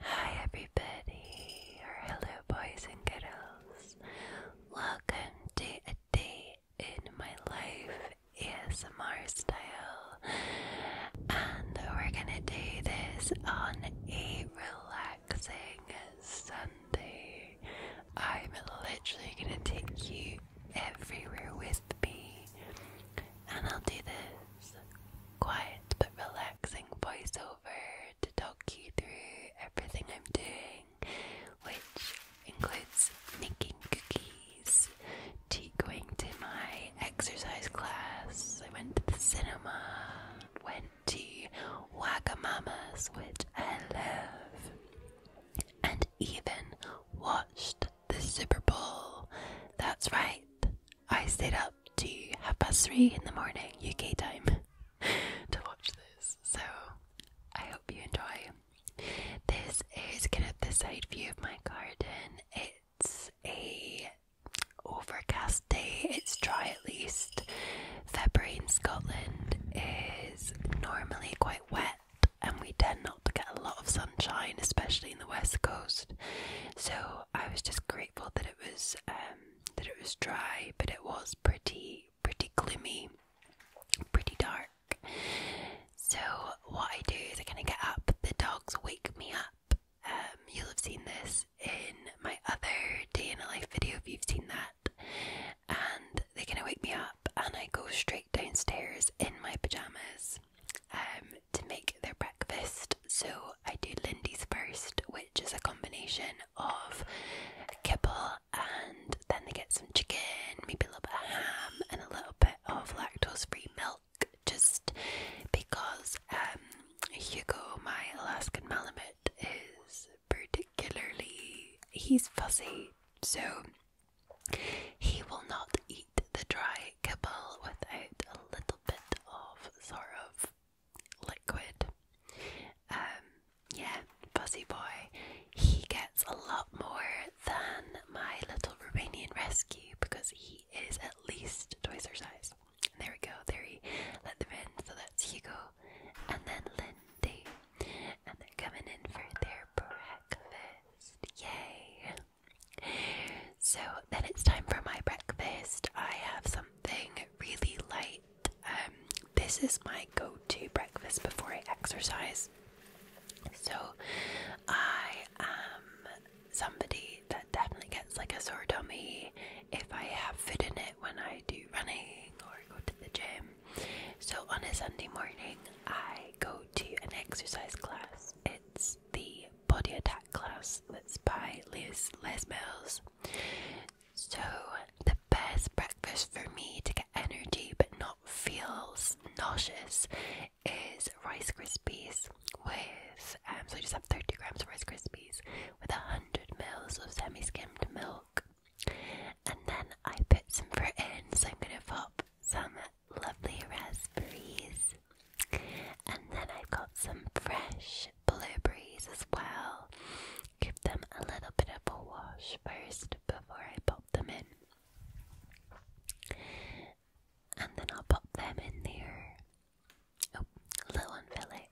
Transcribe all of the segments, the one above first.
Hi, everybody, or hello, boys and girls. Welcome to a day in my life ASMR style, and we're gonna do this on a relaxing Sunday. I'm literally gonna take you everywhere with me, and I'll do this quiet but relaxing voiceover to talk you through everything I'm doing, which includes making cookies, to going to my exercise class, I went to the cinema, went to Wagamama's, which I love, and even watched the Super Bowl. That's right, I stayed up up to half past three in the morning UK time to watch this. So I hope you enjoy. This is kind of the side view of my garden. It's a overcast day. It's dry at least. February in Scotland is normally quite wet and we tend not to get a lot of sunshine, especially in the west coast. So I was just grateful that it was um, that it was dry, but it was pretty pretty gloomy, pretty dark. So what I do is I gonna get up. The dogs wake me up. Um, you'll have seen this in my other day in a life video if you've seen that. And they are gonna wake me up, and I go straight downstairs in my pajamas. Um, to make their breakfast. So I do Lindy's first, which is a combination of kibble and then they get some chicken, maybe a little bit of ham, and a little bit of lactose free milk just because um, Hugo, my Alaskan Malamute, is particularly. he's fussy. So he will not eat the dry kibble without a little bit of sort of liquid. Um, yeah, Fuzzy Boy, he gets a lot more than my little Romanian rescue because he is at least twice her size. And there we go, there he let them in. So that's Hugo and then Lindy. And they're coming in for their breakfast. Yay! So then it's time for my breakfast. I have something really light. Um, this is my go to breakfast before I exercise. So I am somebody that definitely gets like a sore tummy if I have food in it when I do running or go to the gym. So on a Sunday morning, I go to an exercise class. It's the body attack class. Mills. Let's buy Liz Les Mills. So the best breakfast for me to get energy but not feel nauseous is Rice Krispies with um, so I just have 30 grams of Rice Krispies with hundred mils of semi-skimmed milk. And then I put some fruit in, so I'm gonna pop some lovely raspberries and then I've got some fresh blueberries as well. Give them a little bit of a wash first before I pop them in. And then I'll pop them in there. Oh, a little fillet.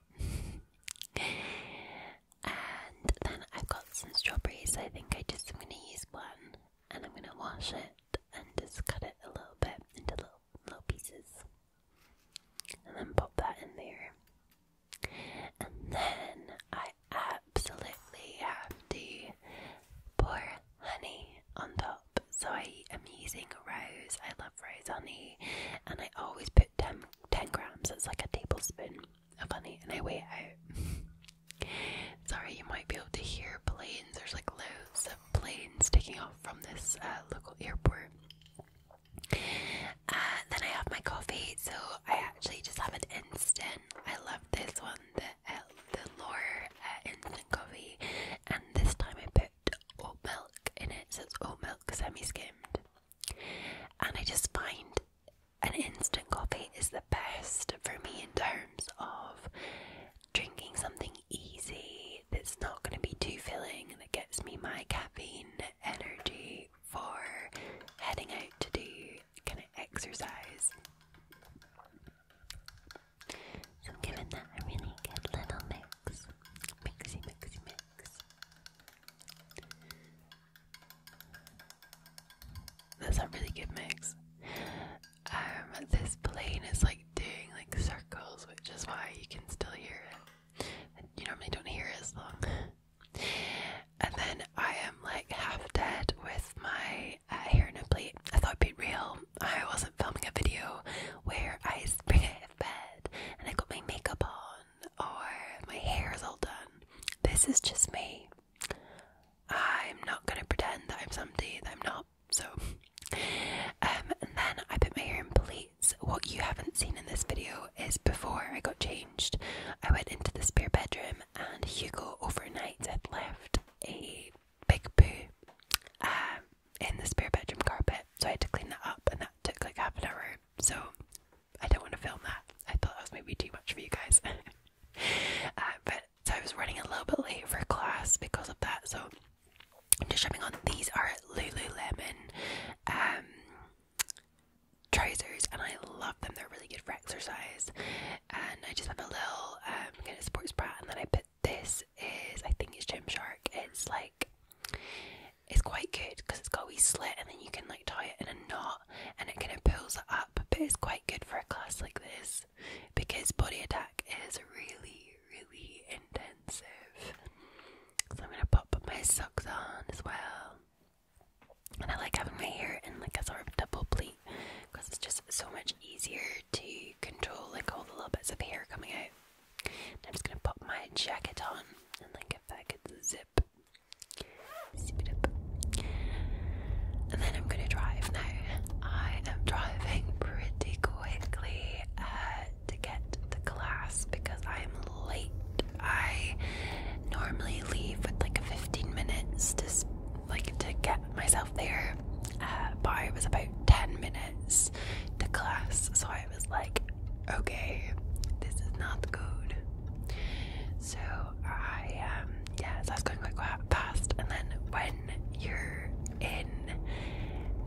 and then I've got some strawberries. I think I just am going to use one and I'm going to wash it and just cut it a little bit into little little, pieces. And then pop that in there. And then I absolutely have to pour honey on top. So I am using rose. I love rose honey. And I always put 10, grams, it's like a tablespoon of honey, and I weigh it out. Sorry, you might be able to hear planes. There's like loads of planes taking off from this uh, local airport. Uh, then I have my coffee, so I actually just have an instant. I love this one, the uh, the Lore uh, instant coffee, and this time I put oat milk in it, so it's oat milk semi-skimmed. And I just find an instant coffee is the best for me in terms of drinking something easy that's not going to be too filling that gets me my caffeine energy for heading out to do kind of exercise. So I'm giving that a really good little mix. Mixy, mixy, mix. That's a really good mix um, this plane is like doing like circles, which is why you can still hear it. you normally don't hear it as long. and then I am like half dead with my uh, hair in a plate. I thought it'd be real. I wasn't filming a video where I spring out of bed and I got my makeup on or my hair is all done. This is just me. I'm not gonna pretend that I'm somebody that I'm not. So, um, then I put my hair in plaits. What you haven't seen in this video is before I got changed, I went into the spare bedroom, and Hugo overnight had left a big poo um, in the spare bedroom carpet. So I had to clean that up, and that took like half an hour. So I don't want to film that. I thought that was maybe too much for you guys. Uh, but so I was running a little bit late for class because of that. So I'm just jumping on. These are Lululemon um, trousers, and I love them. They're really good for exercise. And I just have a little um, kind of sports bra, and then I put this is I think it's Shark. It's like it's quite good because it's got a wee slit, and then you can like tie it in a knot, and it kind of pulls up. But it's quite good for a class like this because body attack is really, really intensive. So I'm gonna pop my socks on as well. And I like having my hair in like a sort of double braid because it's just so much easier to control like all the little bits of hair coming out. I'm just gonna pop my jacket on and like if I could zip, zip it up. And then I'm gonna drive now. I am driving pretty quick quickly uh, to get the class because I'm late. I normally leave with like 15 minutes to like to get myself there, uh, but I was about 10 minutes to class, so I was like, okay, this is not good. So I um yeah, so I was going quite fast, and then when you're in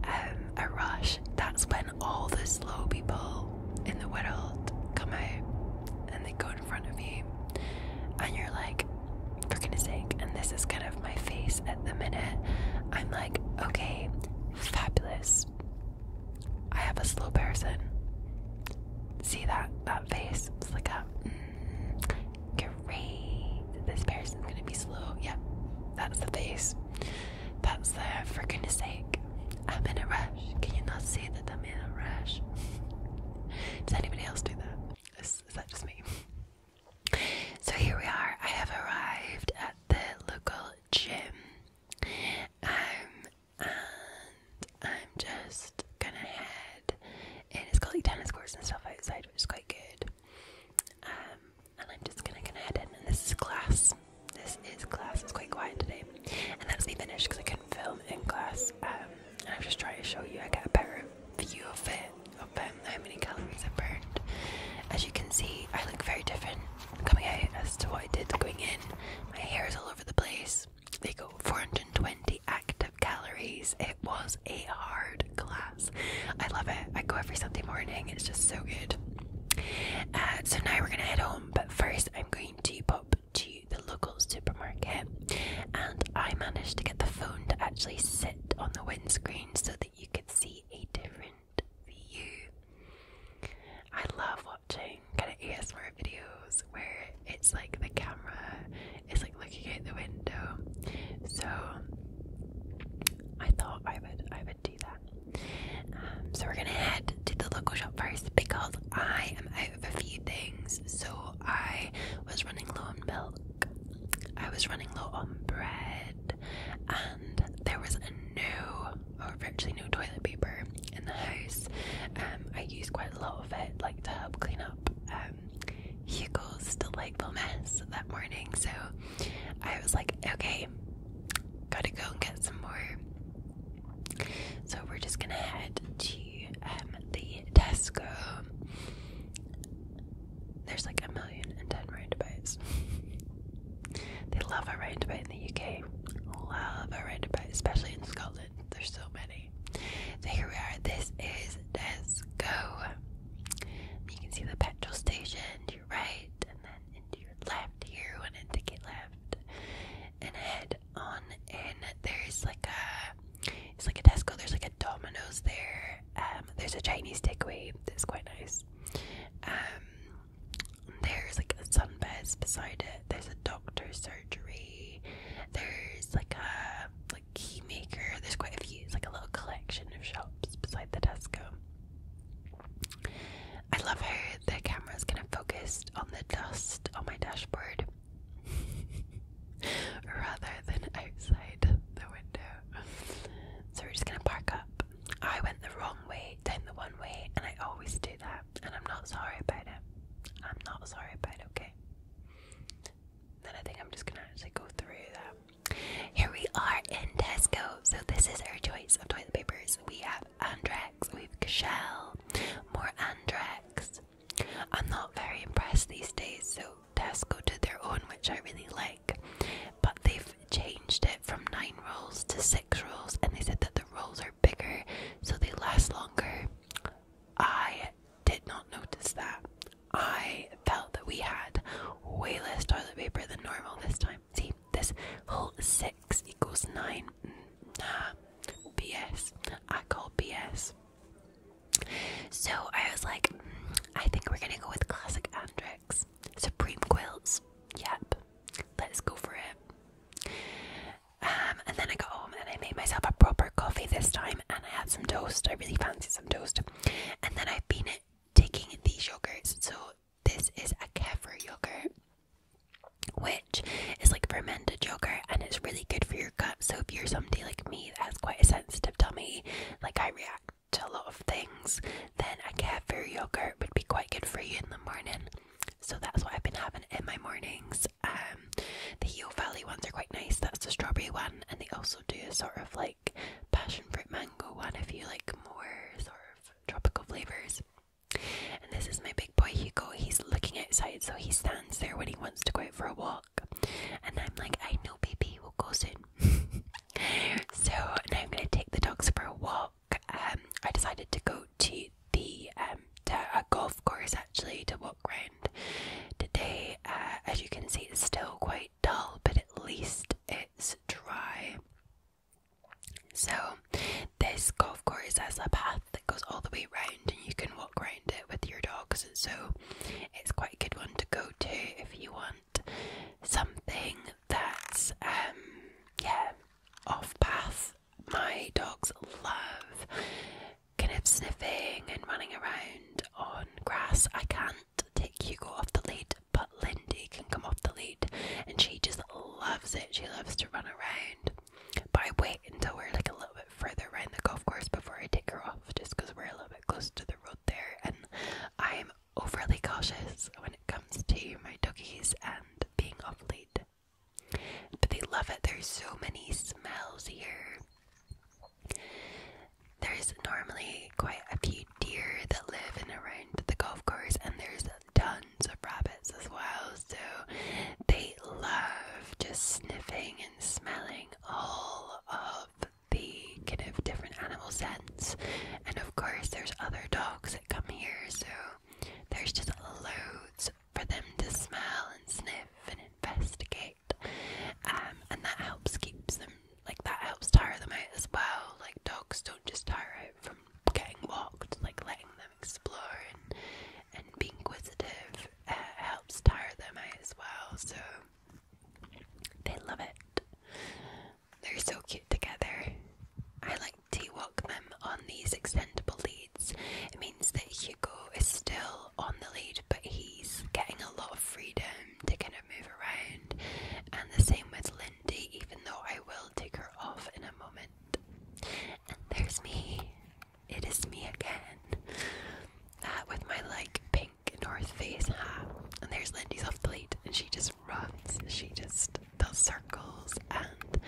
um, a rush. That's when all the slow people in the world come out and they go in front of you, and you're like, for goodness sake. And this is kind of my face at the minute. I'm like, okay, fabulous. I have a slow person. See that that face? It's like a mm, Great. This person's gonna be slow. Yep, that's the face. That's the for goodness sake. I'm in a rush. Can you not see that I'm in a rush? Does anybody else do that? Is, is that just me? So here we are. I have arrived at the local gym. Um, and I'm just gonna head in. It's got like tennis courts and stuff outside, which is quite good. Um, and I'm just gonna gonna And this is class. This is class. It's quite quiet today. And that's me finished because I couldn't film in class. Um, and I'm just trying to show you. I get a better view of it, of how many calories I burned. As you can see, I look very different coming out as to what I did going in. My hair is all over the place. They go 420 active calories it was a hard class. I love it. I go every Sunday morning. It's just so good. Uh, so now we're gonna head home, but first I'm going to pop to the local supermarket, and I managed to get the phone to actually sit on the windscreen so that you could see a different view. I love watching kind of ASMR videos where it's like the camera it's like looking out the window. So I thought I would I would do that. Um, so we're gonna head to the local shop first because I am out of a few things. So I was running low on milk. I was running low on bread, and there was no, or virtually no toilet paper in the house. Um, I used quite a lot of it, like to help clean up. Uh, um, Hugo's delightful mess that morning. So I was like, okay, gotta go and get some more. So we're just gonna head to um, the Tesco. There's like a million and ten roundabouts. they love a roundabout in the UK. Love a roundabout, especially in Scotland. There's so many. So here we are. This is Tesco. You can see the petrol station to your right, and then into your left here. and I take it left, and head on And There's like a, it's like a Tesco. There's like a Domino's there. Um, there's a Chinese takeaway that's quite nice. Um, there's like a sunbeds beside it. There's a doctor's surgery. There's like a Key maker. There's quite a few. It's like a little collection of shops beside the Tesco. I love how the camera's kind of focused on the dust on my dashboard rather than outside the window. So we're just gonna park up. I went the wrong way, down the one way, and I always do that, and I'm not sorry about it. I'm not sorry about it, okay? Then I think I'm just gonna actually go through that. Here we are in Tesco. So this is our choice of toilet papers. We have Andrex, we've Shell, more Andrex. I'm not very impressed these days, so Tesco did their own, which I really like. But they've changed it from nine rolls to six rolls, and they said that the rolls are bigger so they last longer. I did not notice that. I felt that we had way less toilet paper than normal this time. See, this whole 6 equals 9. Nah, BS. I call BS. So I was like, I think we're gonna go with classic Andrex. Supreme Quilts. Yep. Let's go for it. Um, and then I got home and I made myself a proper coffee this time and I had some toast. I really fancy some toast. And then I've been taking these yogurts. So this is a kefir yogurt, which is like fermented yogurt and it's really good for your gut. So if you're somebody like me that has quite a sensitive tummy, like I react to a lot of things, then a kefir yogurt would be quite good for you in the morning. So that's what I've been having in my mornings. Um, the Heo Valley ones are quite nice. That's the strawberry one, and they also do a sort of like passion fruit mango one if you like more sort of tropical flavors. And this is my big boy Hugo. He's looking outside, so he stands there when he wants to go out for a walk. And I'm like, I know, baby, we'll go soon. so now I'm going to take the dogs for a walk. Um, I decided to go to the um, golf course actually to walk around today. Uh, as you can see, it's still quite dull, but at least it's dry. So, this golf course has a path that goes all the way round, and you can walk around it with your dogs. So, it's quite a good one to go to if you want something that's, um, yeah, off path. My dogs love kind of sniffing and running around on grass. I can't take Hugo off the lead, but Lindy can come off the lead, and she just loves it. She loves to run around. But I wait until we're like a little bit further around the golf course before I take her off, just because we're a little bit close to the road there, and I'm overly cautious when it comes to my doggies and being off lead. But they love it. There's so many smells here. There's normally quite a few deer that live in around the golf course, and there's tons of rabbits as well. So they love just sniffing and smelling all of the kind of different animal scents. And of course, there's other dogs that come here, so there's just loads for them to smell and sniff and investigate. Um, and that helps keeps them like that helps tire them out as well. Like dogs don't just tire out from getting walked, like letting them explore and being inquisitive uh, helps tire them out as well. So they love it. They're so cute together. I like to walk them on these extendable leads. It means that Hugo is still on the lead, but he's getting a lot of freedom to kind of move around. And the same with Lindy, even though I will take her off in a moment. And there's me. It is me again. Uh, with my like pink North Face hat. And there's Lindy's off the lead, and she just runs. She just does circles and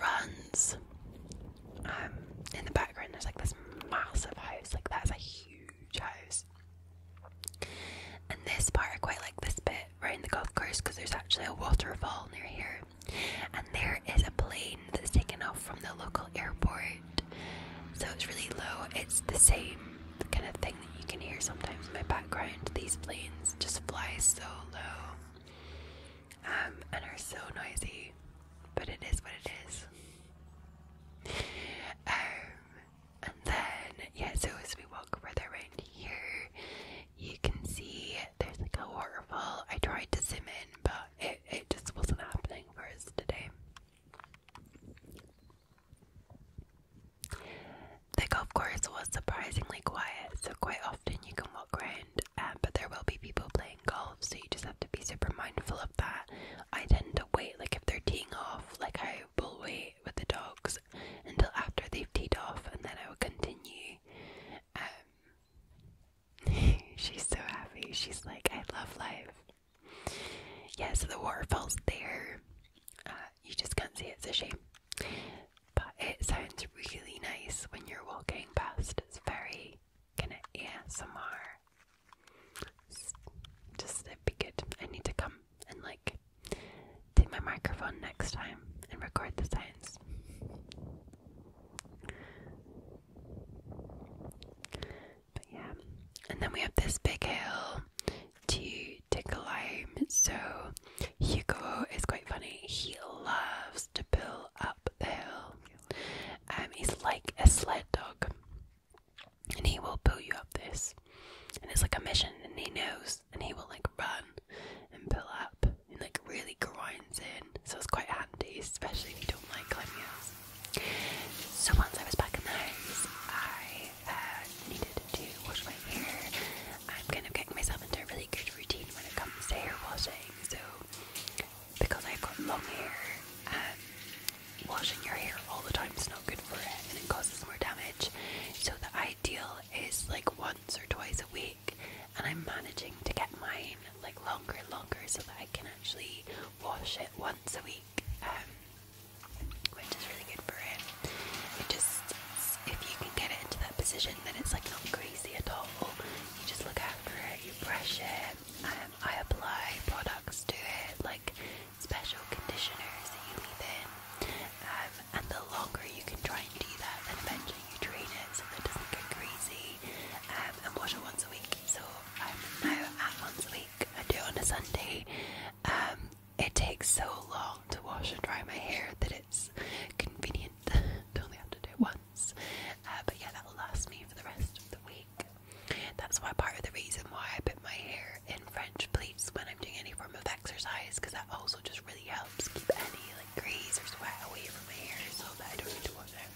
runs. Um, in the background, there's like this massive house. Like, there's a huge house. And this part, I quite like this bit right in the golf course because there's actually a waterfall near here. And there is a plane that's taken off from the local airport. So it's really low. It's the same kind of thing that you can hear sometimes in my background. These planes just fly so low um, and are so noisy. But it is what it is. Um, and then yeah, so as we walk further around here, you can see there's like a waterfall. I tried to zoom in, but it just wasn't happening for us today. The golf course was surprisingly quiet, so quite often you can walk around, um, but there will be people playing golf, so you just have to be super mindful of that, I tend to wait. Like if they're teeing off, like I will wait with the dogs until after they've teed off, and then I will continue. Um, she's so happy. She's like, I love life. Yes, so the waterfall's there. Uh, you just can't see it's a shame. But it sounds really nice when you're walking past. It's very gonna ASMR. Just it'd be good. I need to come and like take my microphone next time and record the science. But yeah, and then we have this big hill to to climb. So Hugo is quite funny. He loves to pull up the hill. Um, he's like a sled dog and he will build you up this and it's like a mission and he knows and he will like run and build up and like really grinds in so it's quite handy especially if you don't like climbing hills so once I was back in the house I uh, needed to wash my hair I'm kind of getting myself into a really good routine when it comes to hair washing so because I've got long hair and washing your hair all the time is not good for it and it causes more damage. So the ideal is like once or twice a week and I'm managing to get mine like longer and longer so that I can actually wash it once a week. Um, which is really good for it. It just, if you can get it into that position, then it's like not greasy at all. You just look after it, you brush it, I apply products to it, like special conditioners that you leave in. Um, and the longer you can try and do that, then eventually you drain it so that it doesn't get greasy. Um, and wash it once a week. So I'm um, now at once a week. I do it on a Sunday. it takes so long to wash and dry my hair that it's convenient to only have to do it once. Uh, but yeah, that'll last me for the rest of the week. That's why part of the reason why I put my hair in French plaits when I'm doing any form of exercise because that also just really helps keep any like grease or sweat away from my hair so that I don't need to wash it.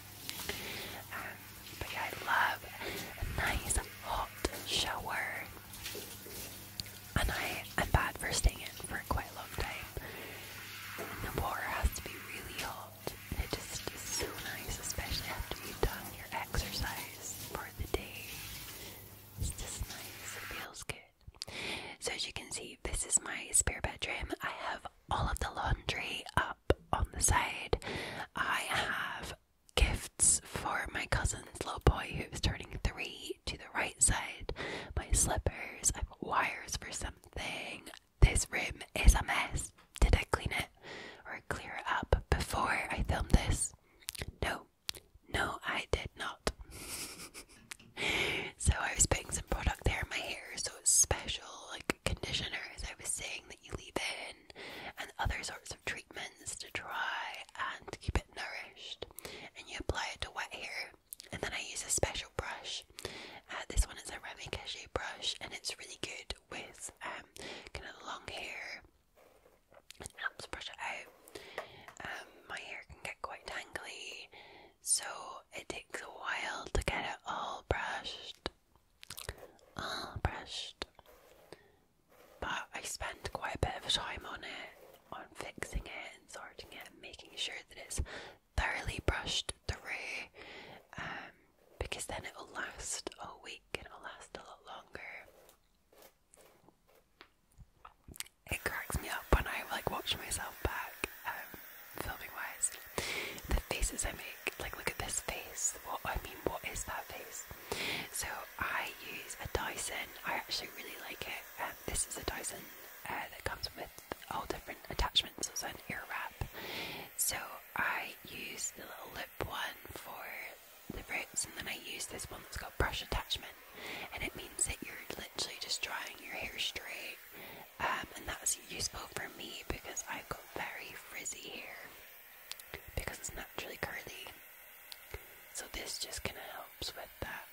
Um, but yeah, I love a nice hot shower. And I am bad for staying in for quite a long time. And the water has to be really hot. It just is so nice, especially after you've done your exercise for the day. It's just nice, it feels good. So, as you can see, this is my spare bedroom. I have all of the laundry up on the side. I have gifts for my cousin's little boy who's turning three to the right side. My slippers, I've wires for something, this room is a mess. Did I clean it or clear it up before I filmed this? No, no, I did not. so I was putting some product there in my hair, so special like conditioners. I was saying that you leave in and other sorts of treatments to try and keep it nourished, and you apply it to wet hair. And then I use a special brush. Uh, this one is a Remy Cachet brush, and it's really good with um kind of long hair. It helps brush it out. Um, my hair can get quite tangly, so it takes a while to get it all brushed. All brushed. But I spend quite a bit of time on it, on fixing it and sorting it and making sure that it's thoroughly brushed through. Um, because then it will last a week and it will last a lot longer. It cracks me up when I like watch myself back, um, filming wise. The faces I make, like look at this face. What I mean, what is that face? So I use a Dyson. I actually really like it. Um, this is a Dyson uh, that comes with all different attachments. It's an ear wrap, so I use the little lip one for the roots, and then I use this one that's got brush attachment, and it means that you're literally just drying your hair straight, um, and that's useful for me because I've got very frizzy hair because it's naturally curly. So this just kind of helps with that.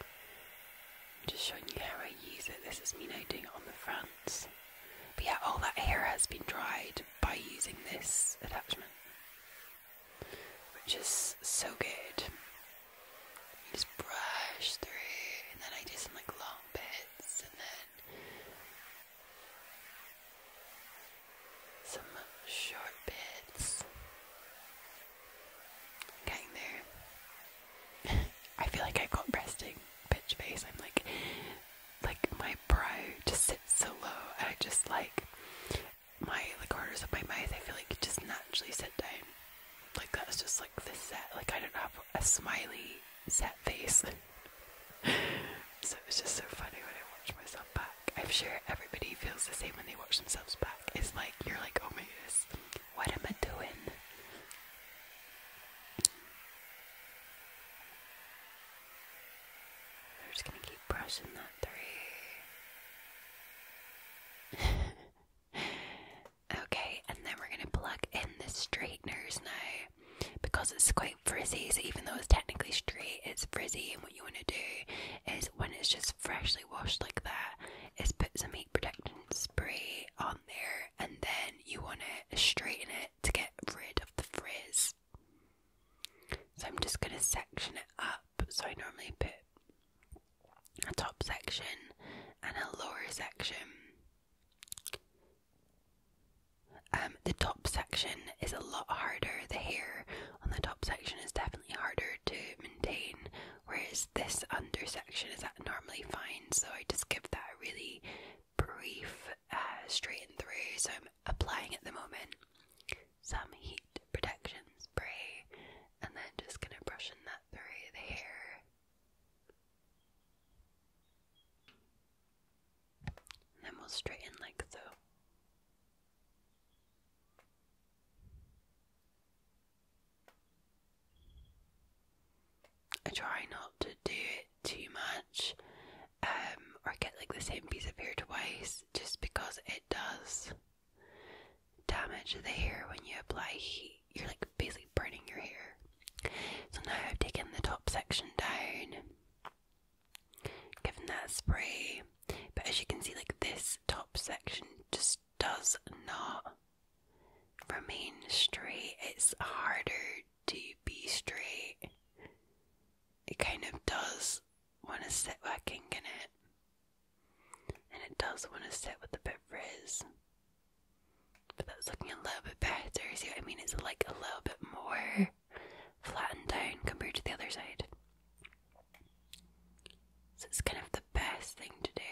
I'm just showing you how I use it. This is me now doing it on the fronts. But yeah, all that hair has been dried by using this attachment, which is so good. You just brush through, and then I do some like long bits, and then some short bits. Getting there. I feel like i got resting bitch face. I'm like, like my brow just sits so low, and I just like my like corners of my mouth. I feel like just naturally sit down. Like that's just like the set. Like I don't have a smiley set face. so it was just so funny when I watch myself back. I'm sure everybody feels the same when they watch themselves back. It's like you're like, oh my goodness, what am I doing? We're just gonna keep brushing that three. okay, and then we're gonna plug in the straighteners now because it's quite frizzy. So even though it's technically straight, it's frizzy. And what you wanna do is when it's just freshly washed like that, is put some protectant spray on there, and then you want to straighten it to get rid of the frizz. So I'm just going to section it up. So I normally put a top section and a lower section. Um, the top section is a lot harder. The hair on the top section is definitely harder to maintain, whereas this under section is normally fine so I just give that a really brief uh, straighten through. So I'm applying at the moment some heat protection spray and then just gonna brush in that through the hair. then we'll straighten like so. I try not to do it too much um, or get like the same piece of hair twice just because it does damage the hair when you apply heat. You're like basically burning your hair. So now I've taken the top section down, given that spray, but as you can see, like this top section just does not remain straight. It's harder to be straight. It kind of does want to sit with a kink in it, and it does want to sit with a bit frizz. But that's looking a little bit better. See what I mean? It's like a little bit more flattened down compared to the other side. So it's kind of the best thing to do.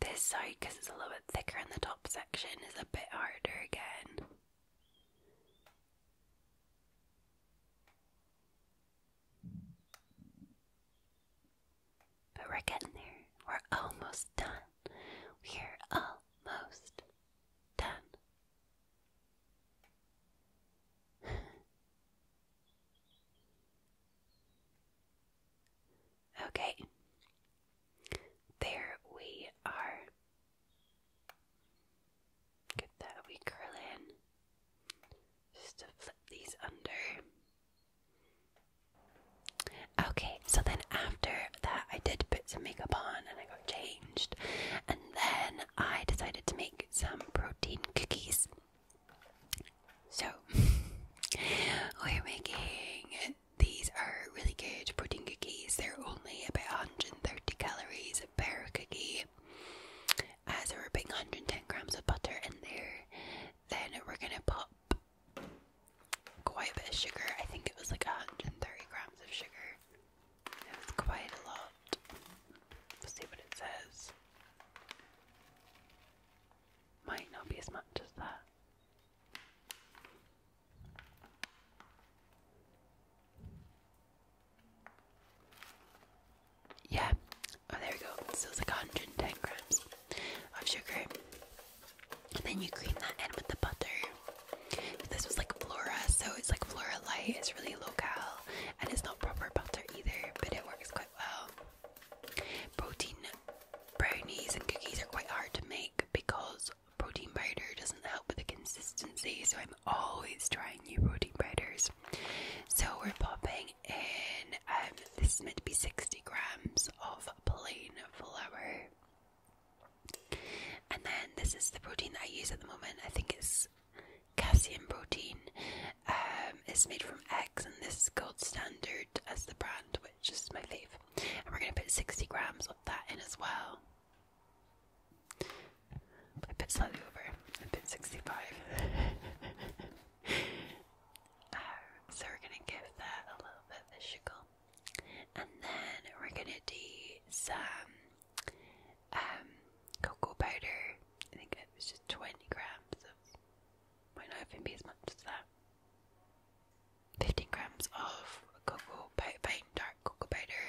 This side, because it's a little bit thicker in the top section, is a bit harder again. But we're getting there. We're almost done. We're almost done. Okay, there we are. Get that wee curl in just to flip these under. Okay, so then after that, I did put some makeup on and I got changed, and then I decided to make some protein cookies. So, we're making these are really good pudding cookies. They're only about 130 calories per cookie. as uh, so we're putting 110 grams of butter in there. Then we're gonna pop quite a bit of sugar. I think it was like 130 grams of sugar. It was quite a lot. Let's see what it says might not be as much as that. Yeah, oh, there we go. So it's like 110 grams of sugar. And then you cream that in with the butter. This was like Flora, so it's like Flora Light, it's really low cal, and it's not proper butter either, but it works quite well. Protein brownies and cookies are quite hard to make because protein powder doesn't help with the consistency, so I'm always trying new protein powders. So we're popping in, um, this is meant to be 60 grams of plain flour. And then this is the protein that I use at the moment. I think it's calcium protein, um, it's made from eggs, and this is Gold Standard as the brand, which is my fave. And we're going to put 60 grams of that in as well. I put slightly over, I put 65. Um, so we're going to give that a little bit of the sugar. And then we're going to do some um, cocoa powder. I think it was just 20 grams of might not even be as much as that. 15 grams of cocoa powder, dark cocoa powder.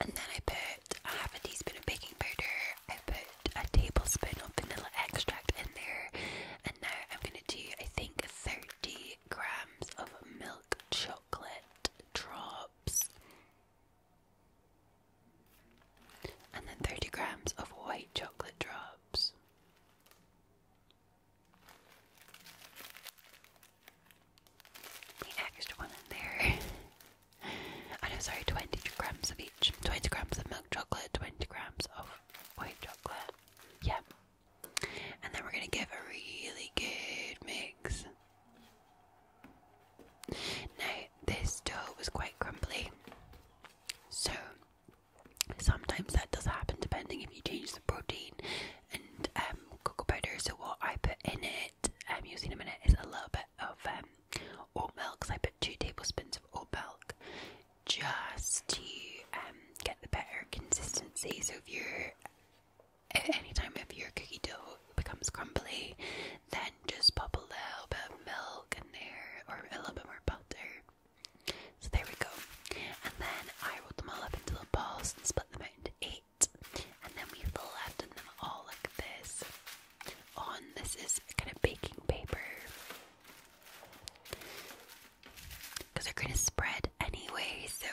And then I put half a teaspoon of baking powder. I put a tablespoon of vanilla extract in there. And now I'm going to do, I think, 30 grams of milk chocolate drops and then 30 grams of white chocolate drops. extra one in there. I know, oh, sorry, 20 grams of each 20 grams of milk chocolate, 20 grams of white chocolate. Yeah. And then we're going to give a really good mix. Now, this dough was quite crumbly, so sometimes that does happen depending if you change the protein and um, cocoa powder. So, what I put in it, I'm um, using in a minute, is a little bit of um, oat milk. Because I put two tablespoons of oat milk just to get the better consistency. So, if you're any time if your cookie dough becomes crumbly, then just pop a little bit of milk in there or a little bit more butter. So there we go. And then I rolled them all up into little balls and split them out into eight. And then we flattened them all like this. On this is kind of baking paper. Because they're going to spread anyway, so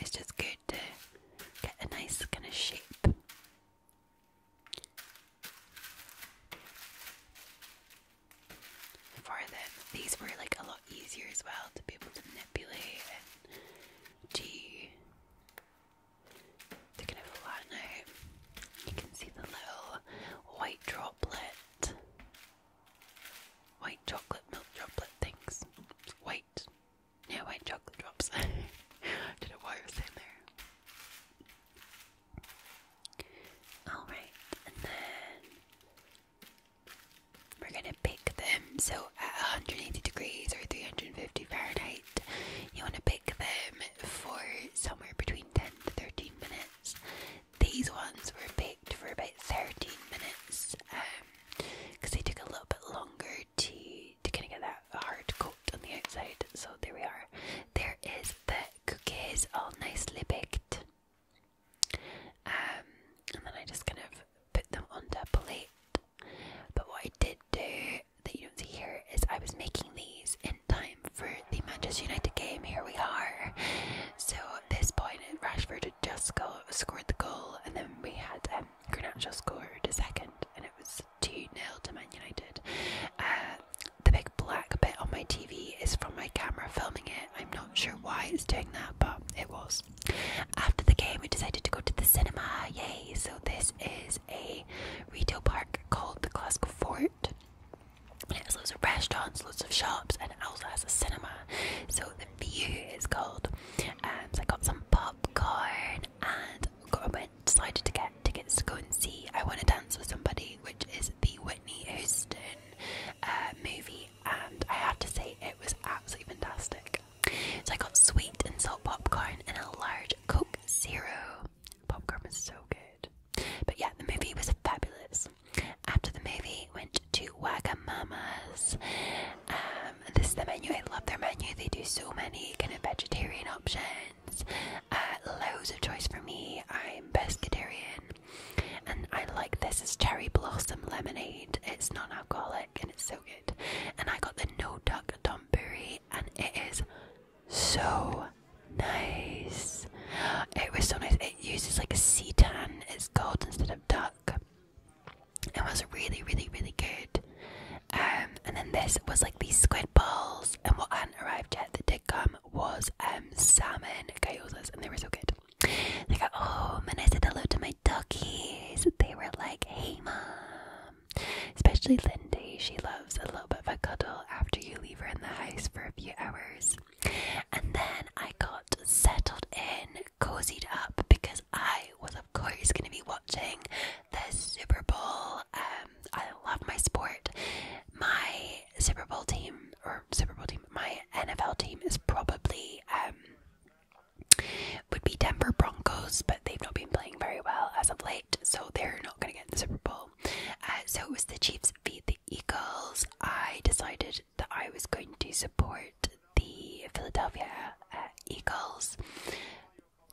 it's just good to get a nice kind of shape. For them, these were like a lot easier as well to be able to manipulate and to to kind of flatten out. You can see the little white droplet, white chocolate milk droplet things, white yeah, white chocolate drops. I don't know why I there. Alright, and then we're gonna pick them. So at 180 degrees or 350 Fahrenheit, you wanna pick them for somewhere between 10 to 13 minutes. These ones were picked for about 13 minutes because um, they took a little bit longer to to kind of get that hard coat on the outside. So there we are. There is the cookies, all nicely baked. Um, and then I just kind of put them onto a plate. But what I did do that you don't see here is I was making these in time for the Manchester United game. Here we are. So at this point, Rashford had just scored the goal, and then we had um, scored a second, and it was 2 0 to Man United. Uh, the big black bit on my TV is from my camera filming it. I'm not sure why it's doing that, but it was. After the game, we decided to go to the cinema. Yay! So, this is a retail park called the Glasgow Fort. It has loads of restaurants, loads of shops, and it also has a cinema. So, the view is called. and um, so, I got some popcorn and got, went decided to get tickets to go and see I Want to Dance with Somebody, which is the Whitney Houston uh, movie, and I have to say it was absolutely fantastic. So I got sweet and salt popcorn and a large Coke Zero. Popcorn is so good, but yeah, the movie was fabulous. After the movie, went to Wagamama's. Um, um, this is the menu. I love their menu. They do so many kind of vegetarian options. Uh, loads of choice for me. I'm pescatarian, and I like this. is cherry blossom lemonade. It's non-alcoholic and it's so good. And I got the no duck donburi, and it is so nice. It was so nice. It uses like a sea tan. It's gold instead of duck. It was really, really, really good. Um, and then this was like these squid balls, and what hadn't arrived yet that did come was um salmon gyozas, and they were so good. They got home, oh, and I said hello to my duckies. They were like, "Hey, mom," especially Lindy. She loves a little bit of a cuddle after you leave her in the house for a few hours. And then I got settled in, cozied up because I was, of course, going to be watching the Super Bowl. Um, I love my sport. My Super Bowl team, or Super Bowl team, my NFL team is probably um, would be Denver Broncos, but they've not been playing very well as of late, so they're not going to get the Super Bowl. Uh, so it was the Chiefs beat the Eagles. I decided that I was going to support the Philadelphia uh, Eagles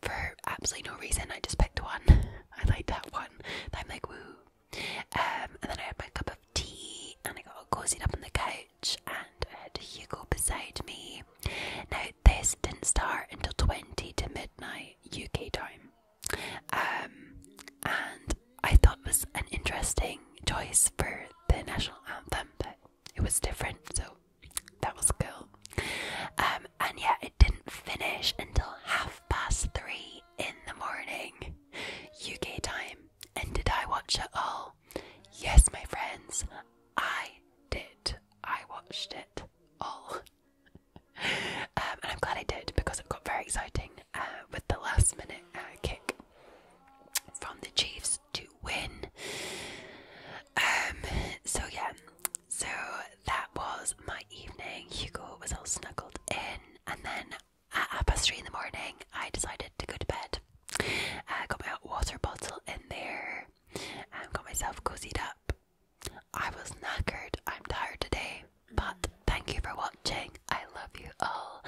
for absolutely no reason. I just picked one. I like that one. I'm like, woo. Um, and then I had my cup of tea and I got all cozied up on the couch and I had Hugo beside me. Now, this didn't start until 20 to midnight UK time. Um, and I thought it was an interesting choice for the national anthem, but it was different. So that was cool. Um, and yeah, it didn't finish until half past three in the morning, UK time. And did I watch it all? Yes, my friends, I did. I watched it all. Um, and I'm glad I did because it got very exciting uh, with the last minute uh, kick from the Chiefs to win. Um, so yeah, so that was my evening. Hugo was all snuggled in, and then at half past three in the morning, I decided to go to bed. I uh, got my water bottle in there and got myself cozied up. I was knackered, I'm tired today, but thank you for watching. I love you all,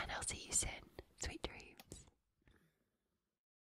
and I'll see you soon. Sweet dreams.